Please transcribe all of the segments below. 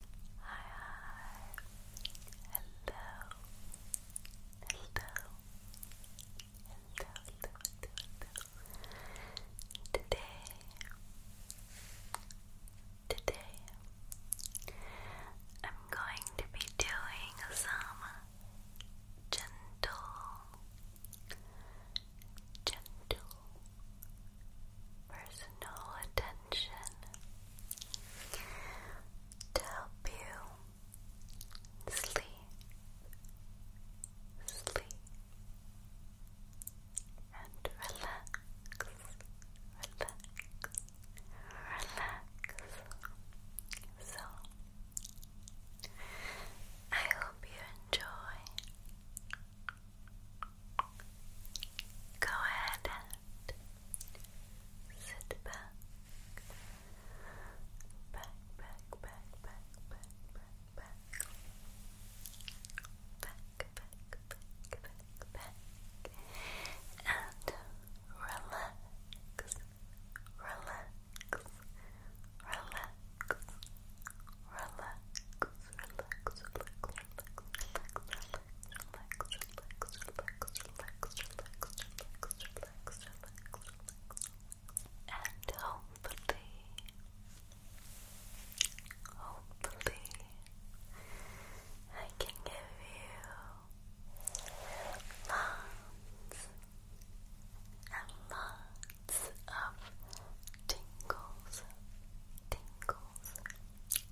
Hi, Hello, hello, hello, hello. Today, today, I'm going to be doing some gentle, gentle, personal attention to help you sleep, sleep, and relax, relax, relax. So, I hope you enjoy Go ahead and sit back. Back, back, back, back, back, back, back. Back, back, back, And relax. Relax. Relax. Relax relax, and hopefully, hopefully, I can give you lots and lots of tingles, tingles,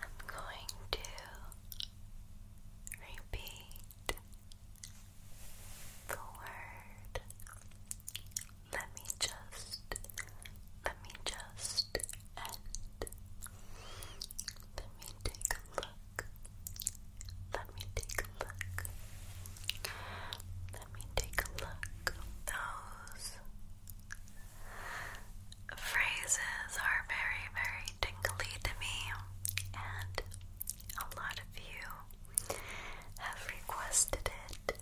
I'm going to repeat the word. Let me just, let me just Let me take a look. Let me take a look. Let me take a look. Those Phrases are very, very tingly to me, and a lot of you have requested it,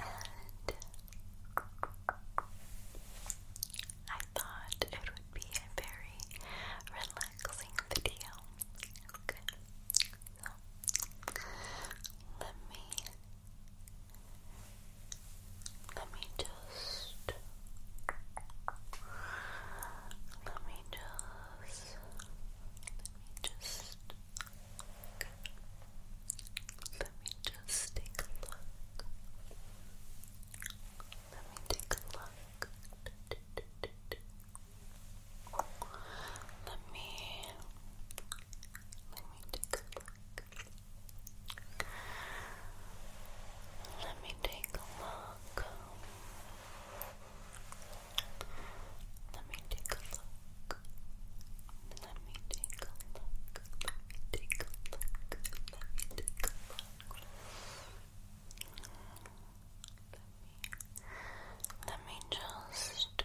and I thought it would be a very relaxing video. let me let me just. Let me just. Let me just. Let me just take a look. Let me take a look. Let me. Let me take a look. Let me take a look. Let me take a look. Let me take a look. Let me take a look. Let me just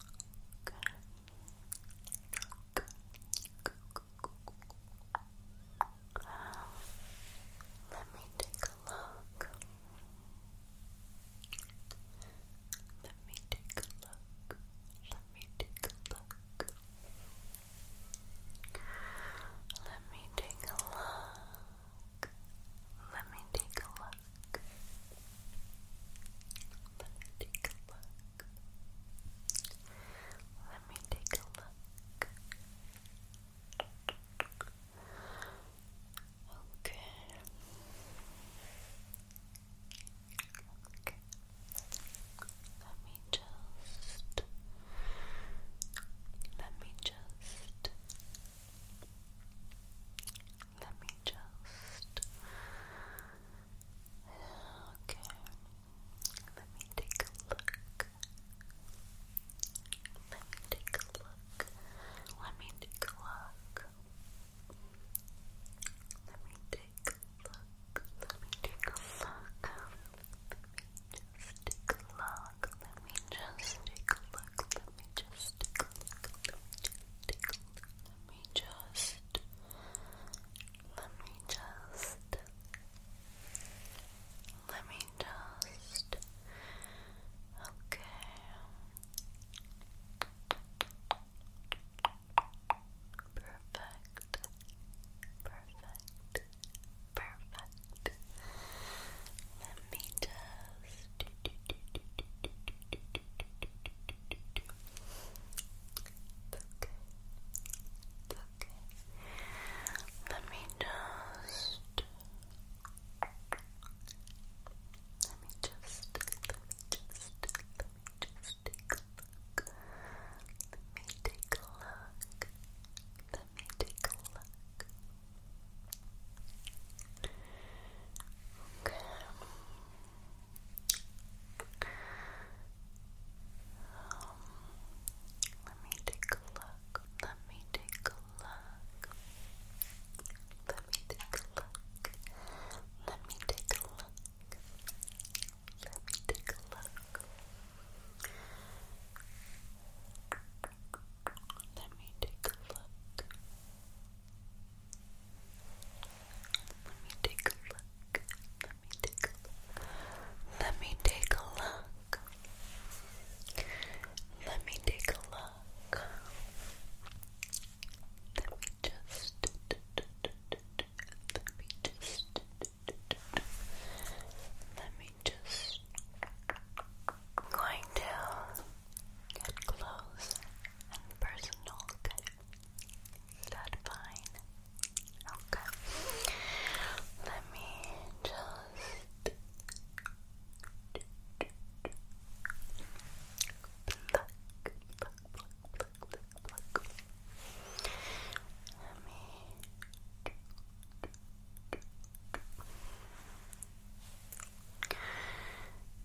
Let me take a look. Let me take a look. Let me take a look. Let me take a look. Let me take a look look. Let me take a look. Let me take a look. Okay. Let me just let me just let me just. Okay. Let me take a look. Let me take a look. Let me take a look. Let me take a look. Let me take a look. Let me just take a look. Let me just take a look. Let me just Let me just Let me just. Let me just. Okay. Perfect. Perfect. Perfect. Let me just okay. Let let me just let me just let me just Let me take a look. Let me take a look. Okay. Um, Let me take a look. Let me take a look. Let me take a look. Let me take a look. Let me take a look. Let me take a look. Let me take a look. Let me take a look. Let me take a look. Let me take a look. Let me just let me just let me just going to get close and personal, okay? Is that fine? Okay. Let me just Let me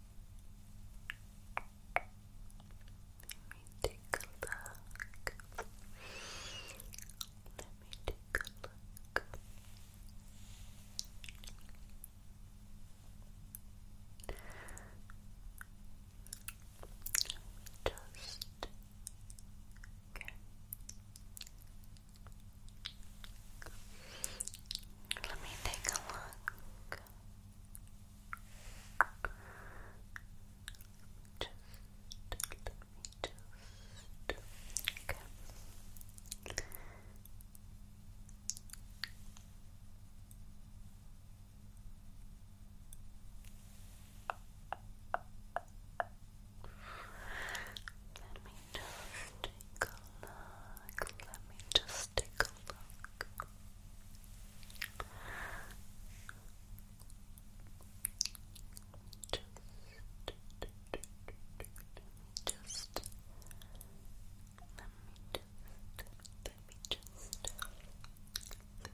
me take a look. Let me take a look. Just okay. Let me take a look. Just let me just Let me just take a look. Let me just take a look. Just, just, let me just, let me just, let me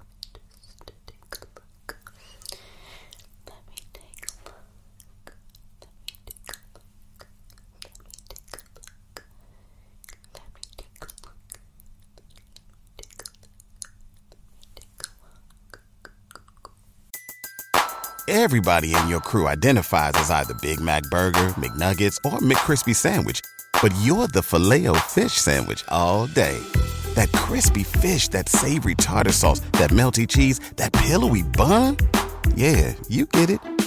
just take a look. Let me take a look. Everybody in your crew identifies as either Big Mac Burger, McNuggets, or McCrispy Sandwich, but you're the Filet-O-Fish Sandwich all day that crispy fish, that savory tartar sauce, that melty cheese, that pillowy bun. Yeah, you get it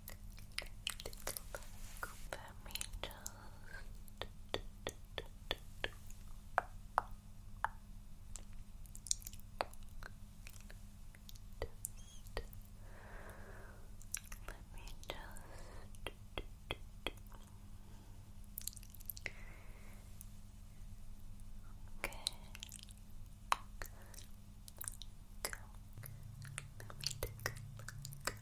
Let me just just let me just okay go let me take a look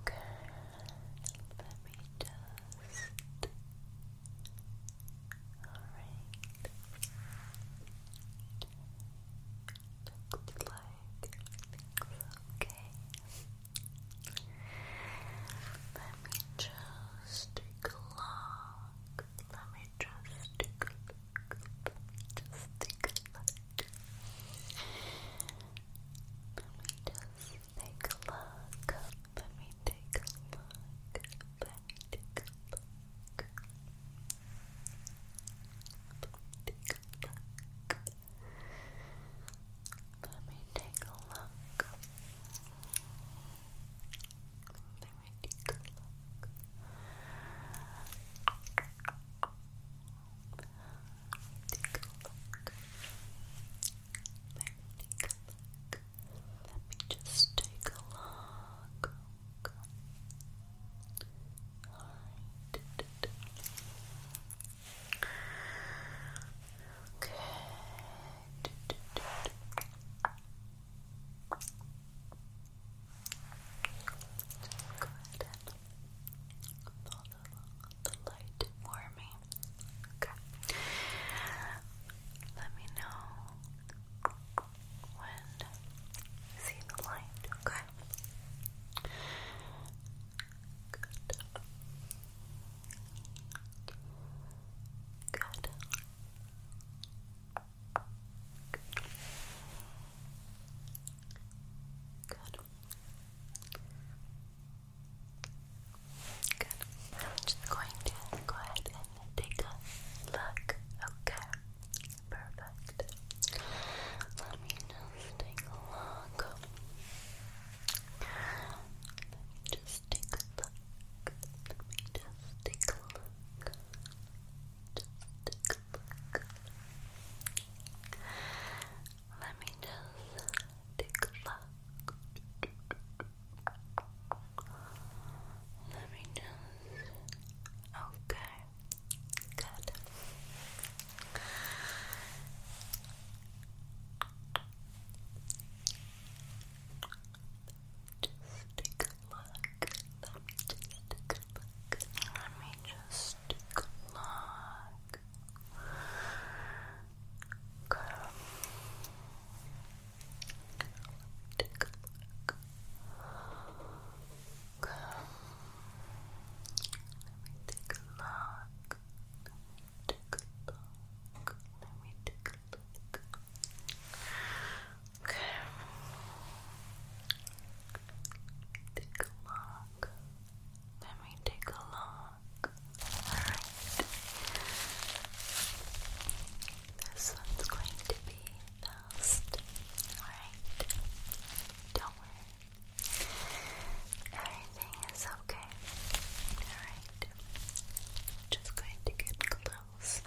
Okay, let me just. Alright. Looks like okay. Let me just take Let me just take a look. Just take a look. Let me just take a look. Let me take a look. Let me take a look. Let me take a look. Alrighty, good luck. Alrighty, good luck. Let me just take a look. Okay go follow the light for Okay. Let me know when you see the light, okay? Good. Good. Good. Good. I'm just going to go ahead and take a look. Okay. Perfect. Let me just take a look. Just take a look. Let me just take a look. Just take Let me just take a look. Let me just. Okay. Good just take Let me take a look. Let me take a look. Let me take a look. Let me take a look. Let me take a look. Okay. Take a Let me take a Alright. This one's going to be fast. Alright. Don't worry. Everything is okay. Alright. Just going to get close else.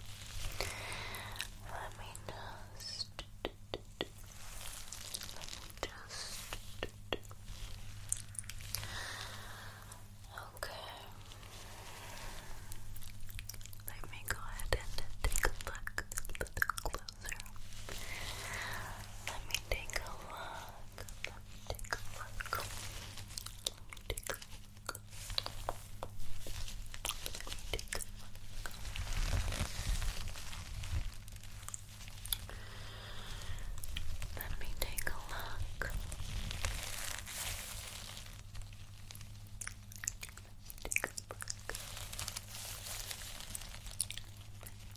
Let me just. just. Okay. Let me go ahead and take a look a little closer. Let me take a look. take a look. take Take a look. take a look. Take a look.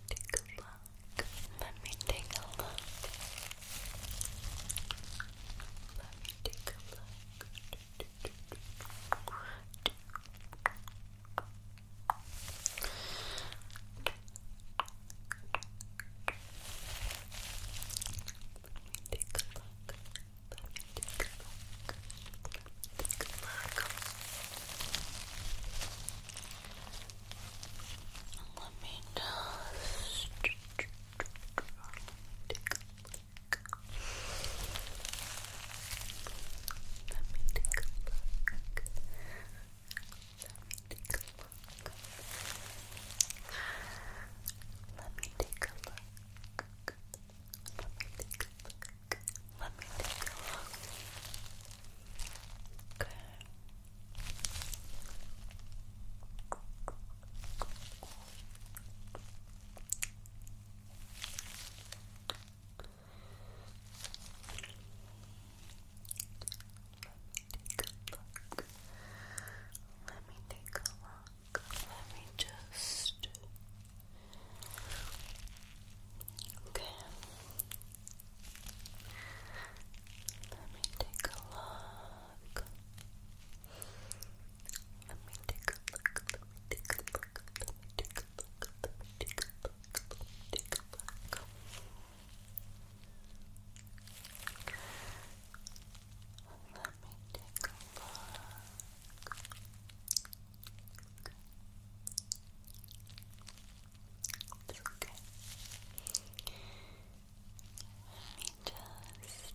Take a look. Let me take a look. Let me take a look. Let me know. Let me take a look. Let me take a look. Let me take a look. Let me take a look. Let me take a look. Let me take a look. Okay look. Let me take a look. Let me just. Okay. Let me take a look look. Let me take a look. Let me take a look. Let me take a look. Let me take a look. Let me take a look. Let me take a look. Let me just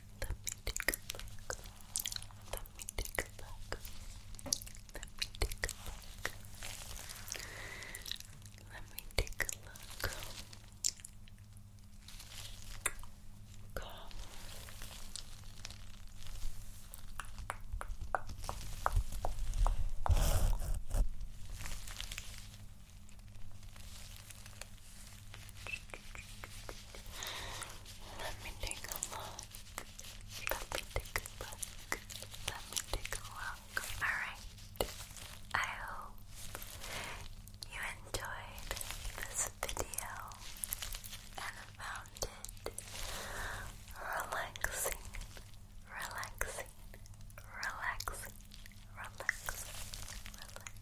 Let me take a look. Let me take a look. Let me take a look. Let me take a look. Go. Let me take a look. Let me take a look. Let me take a look. Alright. I hope you enjoyed this video and found it relaxing, relaxing, relaxing, relaxing,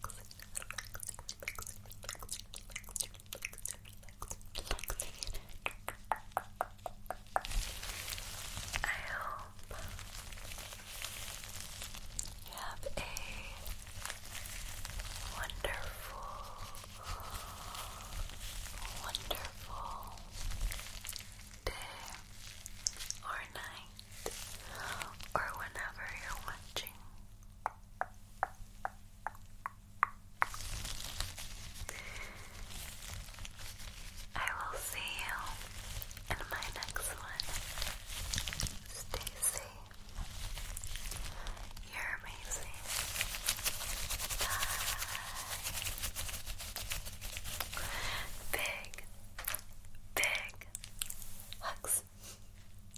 relaxing. I hope you have a wonderful, wonderful day or night or whenever you're watching I will see you in my next one. Stay You're amazing. Bye. Big, big hugs.